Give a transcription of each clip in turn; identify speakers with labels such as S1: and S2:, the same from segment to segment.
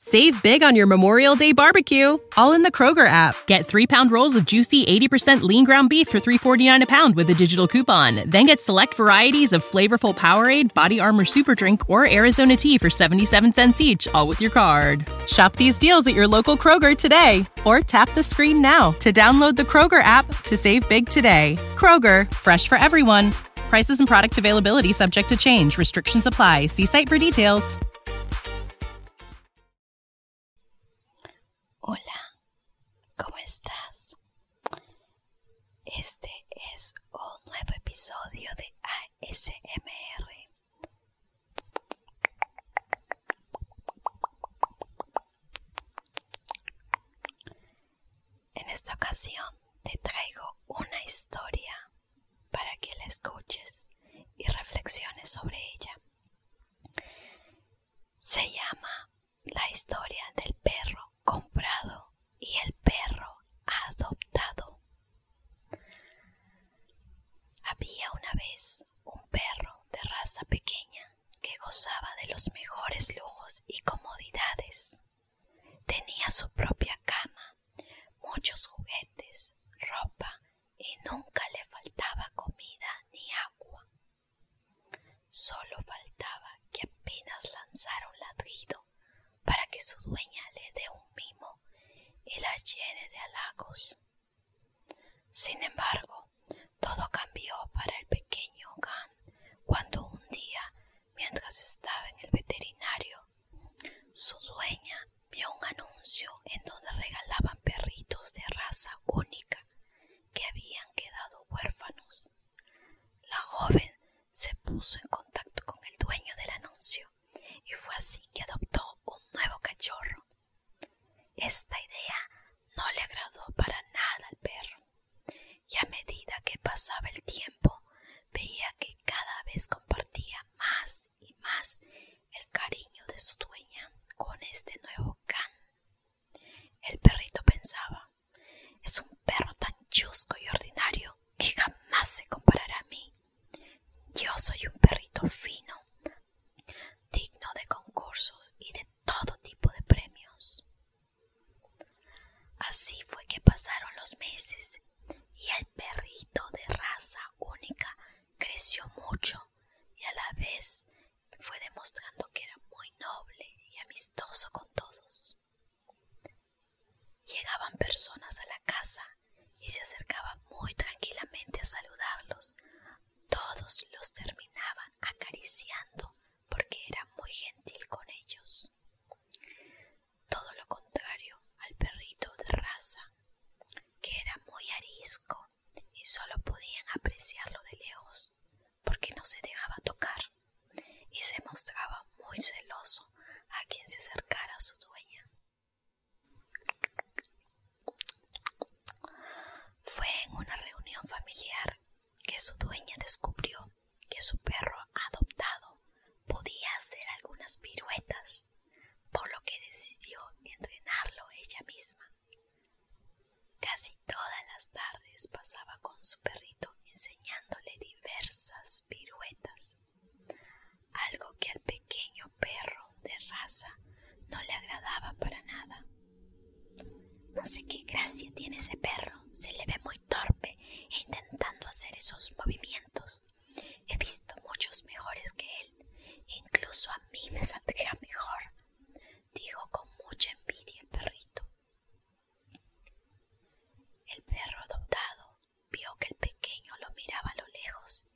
S1: Save big on your Memorial Day barbecue, all in the Kroger app. Get three pound rolls of juicy 80% lean ground beef for three forty-nine a pound with a digital coupon. Then get select varieties of flavorful Powerade, Body Armor Super Drink, or Arizona tea for 77 cents each, all with your card. Shop these deals at your local Kroger today, or tap the screen now to download the Kroger app to save big today. Kroger, fresh for everyone. Prices and product availability subject to change. Restrictions apply. See site for details. Hola, ¿cómo estás? Este es un nuevo episodio de ASMR. En esta ocasión te traigo una historia para que la escuches y reflexiones sobre ella. Se llama La historia del perro comprado y el perro adoptado. Había una vez un perro de raza pequeña que gozaba de los mejores lujos y comodidades Tenía su propia cama, muchos juguetes, ropa y nunca le faltaba comida ni agua. sólo faltaba que apenas lanzara un ladrido para que su dueña le dé un mimo y la llene de halagos. Sin embargo, todo cambió para el pequeño Gan cuando un día Mientras estaba en el veterinario, su dueña vio un anuncio en donde regalaban perritos de raza única que habían quedado huérfanos. La joven se puso en contacto con el dueño del anuncio y fue así que adoptó un nuevo cachorro. Esta idea no le agradó para nada al perro, y a medida que pasaba el tiempo veía que cada vez compartía más y más el cariño de su dueña con este nuevo can. El perrito pensaba es un perro tan chusco y ordinario que jamás se comparará a mí. Yo soy un perrito fino, digno de concursos y de todo tipo de premios. Así fue que pasaron los meses y el perrito de raza única creció mucho y a la vez fue demostrando que era muy noble y amistoso con todos. Llegaban personas a la casa y se acercaba muy tranquilamente a saludarlos, todos los terminaban acariciando porque era muy gentil con ellos. Todo lo contrario al perrito de raza, que era muy arisco y solo podían apreciarlo de lejos porque no se dejaba tocar y se mostraba muy celoso a quien se acercara a su dueña. Fue en una reunión familiar que su dueña descubrió que su perro adoptado podía hacer algunas piruetas, por lo que decidió entrenarlo ella misma. Casi todas las tardes pasaba con su perrito enseñándole diversas piruetas, algo que al pequeño perro de raza no le agradaba para nada. No sé qué gracia tiene ese perro, se le ve muy torpe e intentando hacer esos movimientos. He visto muchos mejores que él, e incluso a mí me saldría mejor, dijo con mucha envidia el perrito. El perro adoptado vio que el pequeño lo miraba a lo lejos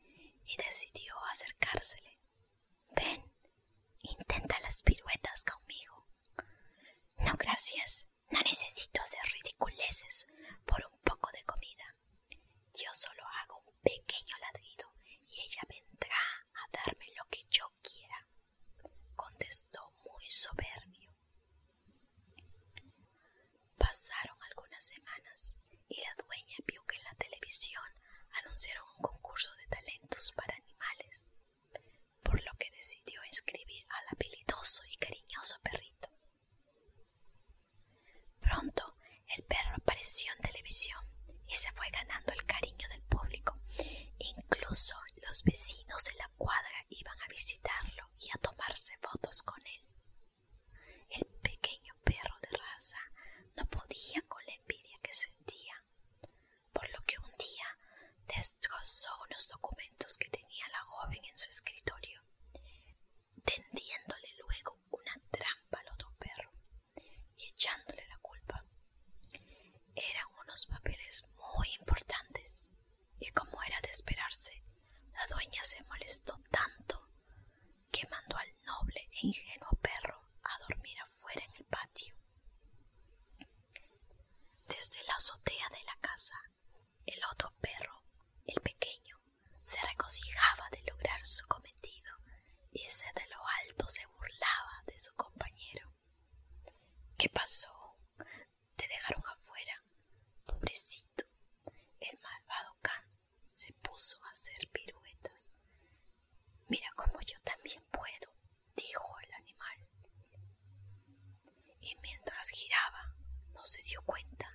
S1: y decidió acercársele. Ven, intenta las piruetas conmigo. No, gracias. No necesito hacer ridiculeces por un poco de comida. Yo solo hago un pequeño ladrido y ella vendrá a darme lo que yo quiera, contestó muy soberbio. Pasaron algunas semanas y la dueña vio que en la televisión anunciaron un concurso de talentos para animales, por lo que decidió inscribir al habilidoso y cariñoso perrito. Pronto el perro apareció en televisión y se fue ganando el cariño del público. Incluso los vecinos de la cuadra iban a visitarlo y a tomarse fotos con él. El pequeño perro de raza no podía con la envidia que sentía, por lo que un día destrozó unos documentos que tenía la joven en su escritorio, tendiéndole luego una trampa al otro perro y echándole la culpa. Eran unos papeles muy importantes y como era de esperarse, la dueña se molestó tanto que mandó al noble e ingenuo perro a dormir afuera en el patio. Desde la azotea de la casa, el otro perro, el pequeño, se regocijaba de lograr su cometido y desde lo alto se burlaba de su compañero. ¿Qué pasó? Te dejaron afuera. Pobrecito. El malvado can se puso a hacer piruetas. Mira cómo yo también puedo, dijo el animal. Y mientras giraba, no se dio cuenta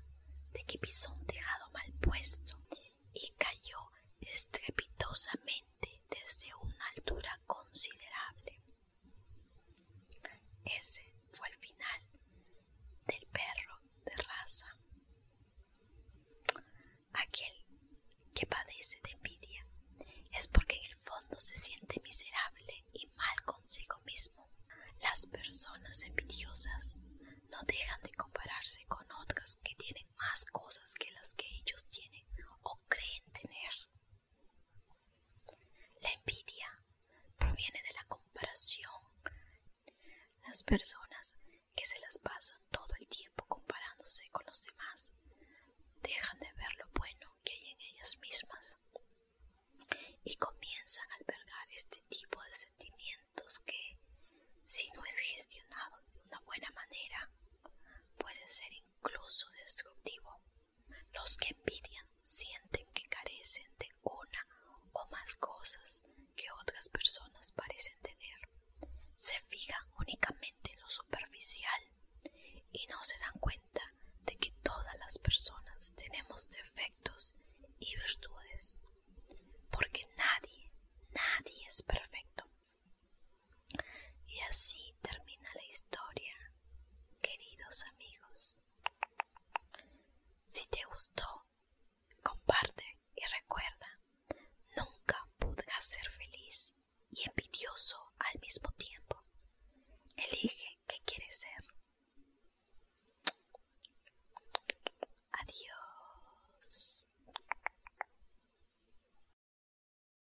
S1: de que pisó un tejado mal puesto y cayó estrepitosamente desde una altura considerable. Ese fue el final del perro de raza. Aquel que padece de envidia es porque en el fondo se siente miserable y mal consigo mismo. Las personas envidiosas no dejan de compararse con otras que tienen más cosas que las que ellos tienen o creen tener. La envidia proviene de la comparación. Las personas que se las pasan todo el tiempo comparándose con los demás dejan de ver lo bueno que hay en ellas mismas y comienzan a albergar este tipo de sentimientos que, si no es gestionado de una buena manera, puede ser incluso destructivo. Los que envidian sienten que carecen de una o más cosas que otras personas parecen tener. Se fijan únicamente en lo superficial y no se dan cuenta de que todas las personas tenemos defectos y virtudes, porque nadie, nadie es perfecto. Y así termina la historia queridos amigos. Si te gustó, comparte y recuerda, nunca puedas ser feliz y envidioso al mismo tiempo. Elige qué quieres ser. Adiós.